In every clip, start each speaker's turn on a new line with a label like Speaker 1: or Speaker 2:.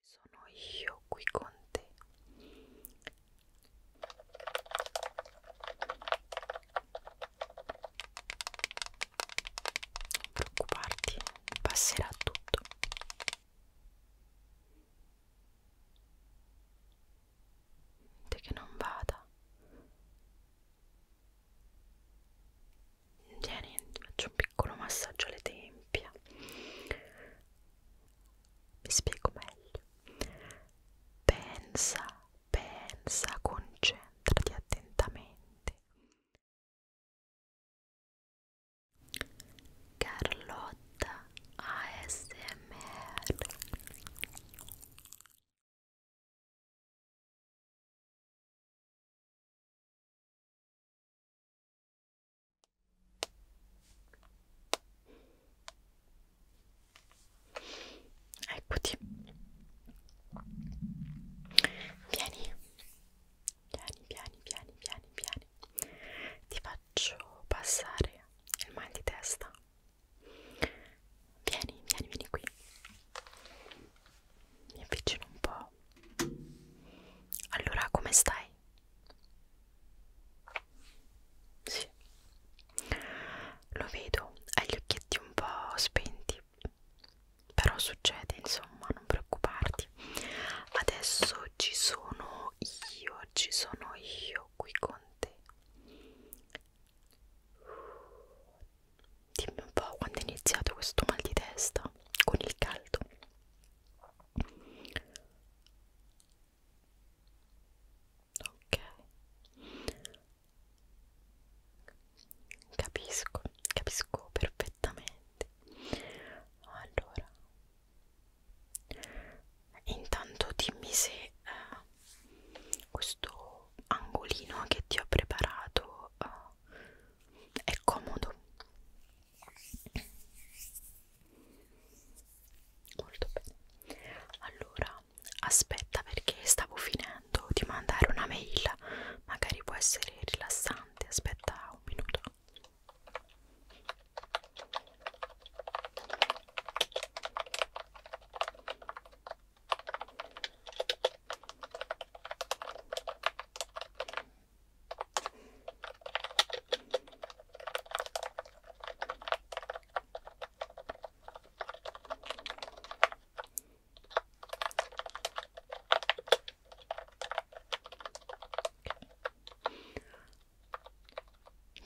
Speaker 1: Ci sono io qui con te. Non preoccuparti, passerà tutto. Niente che non vada. Vieni, faccio un piccolo massaggio alle tempie vi spiego meglio. Pensa, pensa, concentrati attentamente. Carlotta ASMR Eccoti. Vieni. Vieni, vieni, vieni, vieni, vieni. Ti faccio passare il mal di testa. Vieni, vieni, vieni qui. Mi avvicino un po' ciao. Allora, come stai? Sì, lo vedo, hai gli occhietti un po' spenti, però succede, insomma, non preoccuparti. Adesso ci sono io, ci sono io qui con te. Dimmi un po' quando è iniziato questo mal di testa con il caldo ok capisco capisco perfettamente allora intanto dimmi se eh, questo angolino che ti ho preparato eh, è comodo molto bene allora aspetta perché stavo finendo di mandare una mail magari può essere rilassante aspetta un minuto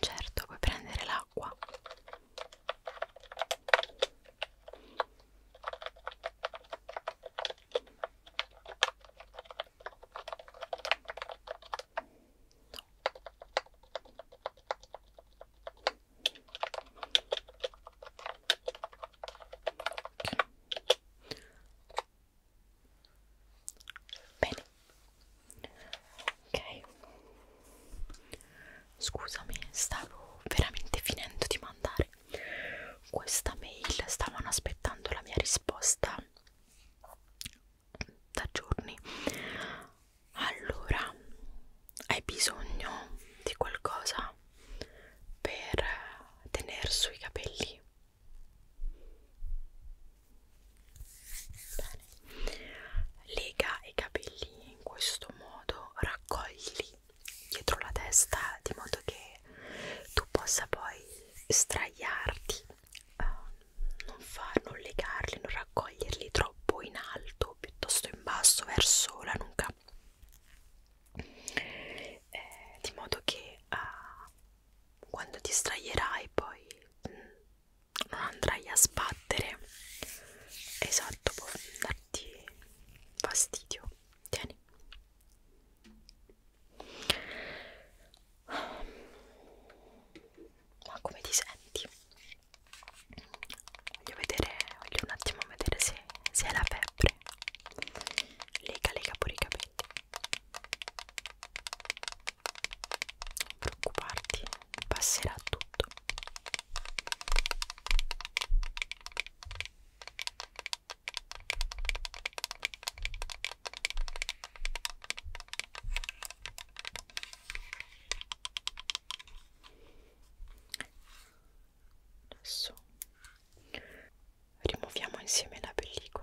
Speaker 1: Certo, puoi prendere l'acqua. Bene. Ok. Scusami, stavo veramente finendo di mandare questa mail, stavano aspettando la mia risposta da giorni allora hai bisogno di qualcosa per tenere sui capelli Bene. lega i capelli in questo modo raccoglili dietro la testa di modo che tu possa poi straiarti uh, non, far, non legarli, non raccoglierli troppo in alto piuttosto in basso verso la nuca eh, di modo che uh, quando ti straierai poi mh, mm, non andrai a sbattere esatto può darti fastidio tieni ma come ti senti? Voglio vedere, voglio un attimo vedere se, se è la febbre. Lega, lega pure i capelli. Non preoccuparti, passerà tutto. Adesso rimuoviamo insieme la pellicola.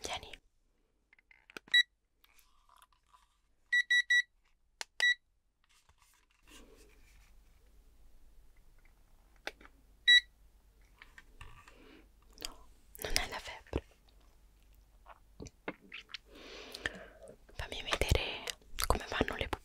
Speaker 1: Tieni. No, non è la febbre. Fammi vedere come vanno le pupille.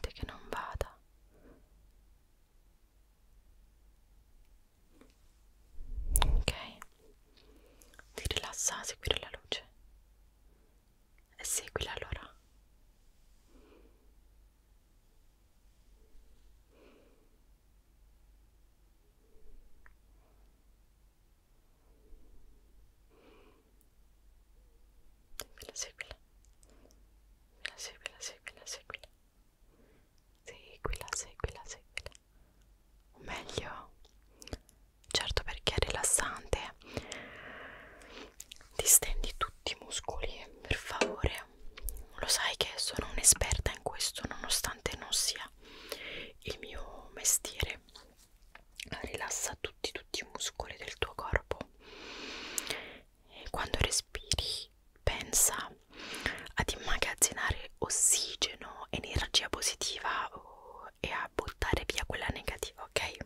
Speaker 1: Dite che non vada. Ok, ti rilassa a seguire la luce e seguila allora. Ok, seguila, seguila seguila, seguila, seguila seguila, seguila, seguila o meglio certo perché è rilassante distendi tutti i muscoli per favore lo sai che sono un'esperta in questo nonostante non sia il mio mestiere rilassa tutti tutti i muscoli del tuo corpo quando respiri pensa ad immagazzinare ossigeno, energia positiva oh, e a buttare via quella negativa, ok?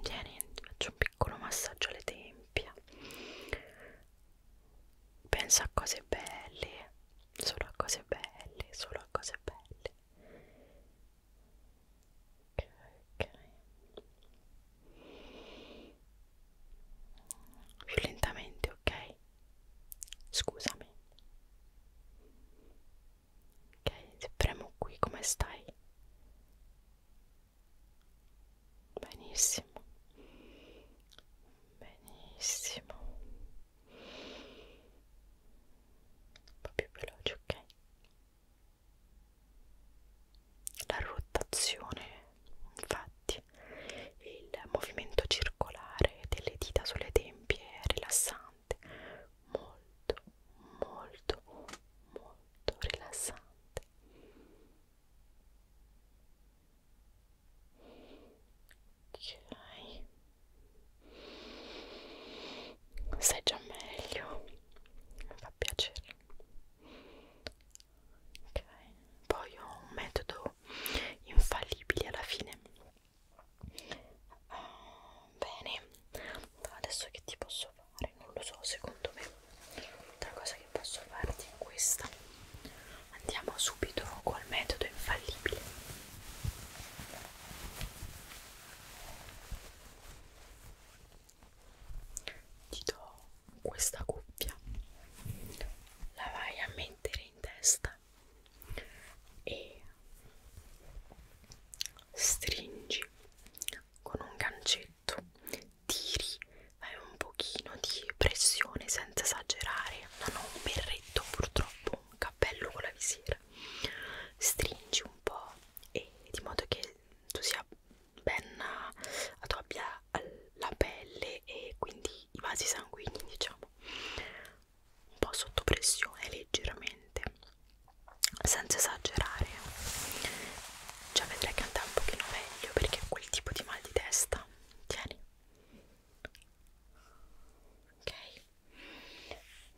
Speaker 1: Vieni, faccio un piccolo massaggio alle tempie. Pensa a cose belle, solo a cose belle, solo a cose belle ok ok più lentamente ok scusami ok se premo qui come stai benissimo benissimo un po' più veloce ok la rotazione infatti il movimento circolare delle dita sulle tempie è rilassante molto molto molto rilassante ok stai già meglio mi fa piacere ok poi ho un metodo infallibile alla fine uh, bene adesso che ti posso fare non lo so secondo me l'altra cosa che posso farti è questa andiamo subito col metodo infallibile ti do questa cuffia la vai a mettere in testa e stringi con un gancetto tiri fai un pochino di pressione senza esagerare non ho un berretto purtroppo un cappello con la visiera stringi un po' e di modo che tu sia penna addobbia la pelle e quindi i vasi sanguigni diciamo un po' sotto pressione leggermente senza esagerare già vedrai che andrà un pochino meglio perché quel tipo di mal di testa tieni ok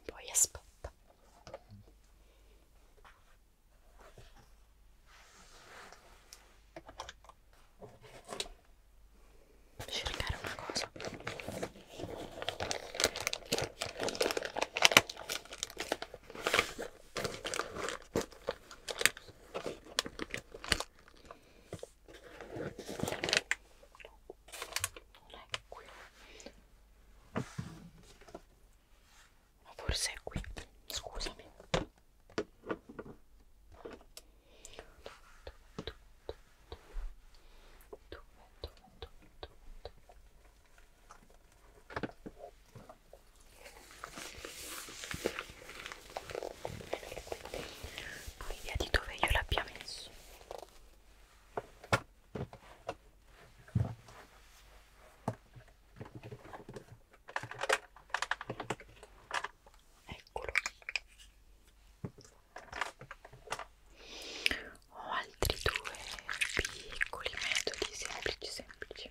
Speaker 1: poi aspetta cercare una cosa non è qui ma forse è qui scusami non idea di dove io l'abbia messo eccolo ho altri due piccoli metodi semplici semplici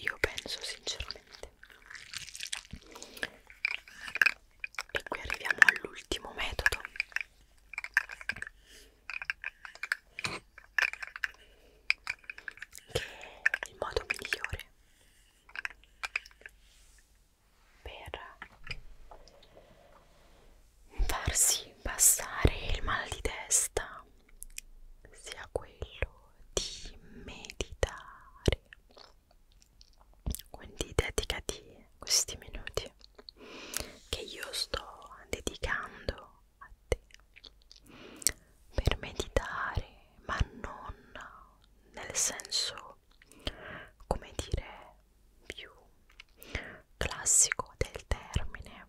Speaker 1: Io penso sinceramente. E qui arriviamo all'ultimo metodo. Che è il modo migliore per farsi passare il mal di testa sia quello di meditare quindi dedicati questi minuti che io sto dedicando a te per meditare, ma non nel senso, come dire, più classico del termine.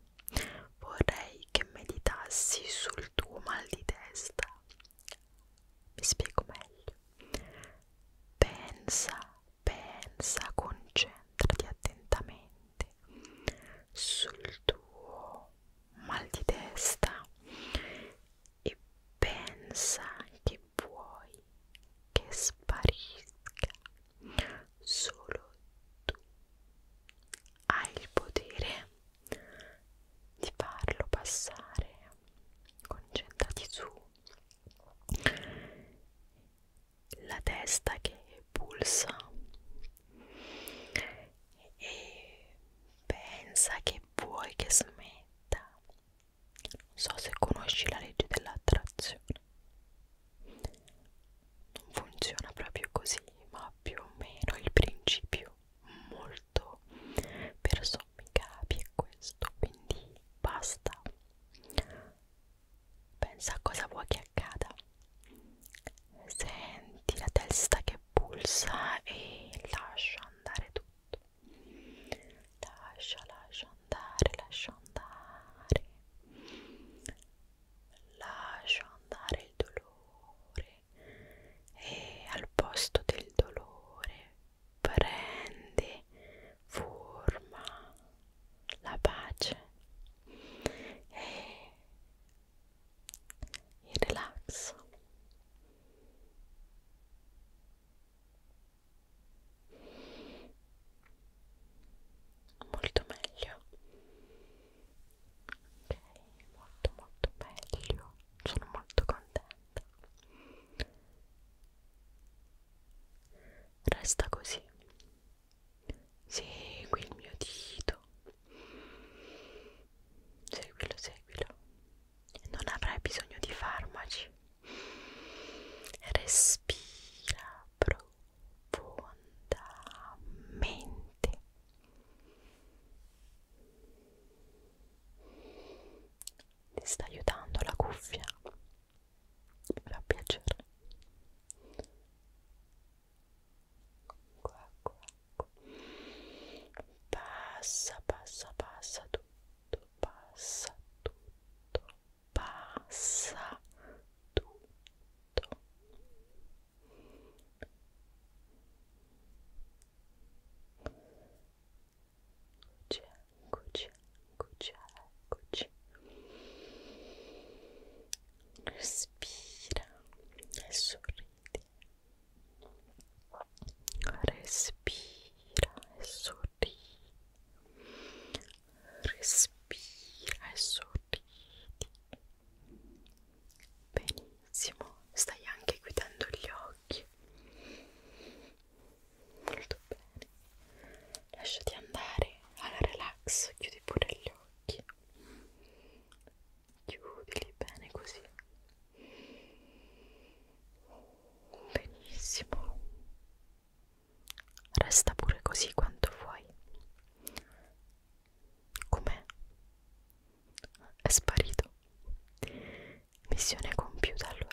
Speaker 1: Vorrei che meditassi sul tuo mal di testa. Mi spiego meglio. Pensa, pensa, concentrati attentamente sul tuo mal di testa e pensa che vuoi che sparisca solo tu hai il potere di farlo passare concentrati su la testa che pulsa e pensa che vuoi che smetta. Non so se conosci la legge dell'attrazione. Non funziona proprio così, ma più o meno il principio molto per sommi capi è questo, quindi basta. Pensa a cosa vuoi che accada. Senti la testa che pulsa e lascia andare tutto lascia lascia andare lascia andare lascia andare il dolore e al posto del dolore prende forma la pace e il relax molto meglio ok molto molto meglio sono molto contenta resta così segui il mio dito Seguilo, seguilo. Non avrai bisogno di farmaci. Respira profondamente. Ti sta aiutando la cuffia. Mi fa piacere. Qua, qua. Ecco. passa passa passa tutto passa tutto passa tutto Eccoci, eccoci, eccoci, eccoci. Respira e sorridi respira e sorridi respira e sorridi benissimo stai anche guidando gli occhi molto bene lasciati andare alla relax chiudi pure gli occhi chiudili bene così Benissimo. Resta pure così quanto vuoi. Com'è? È sparito. Missione compiuta allora.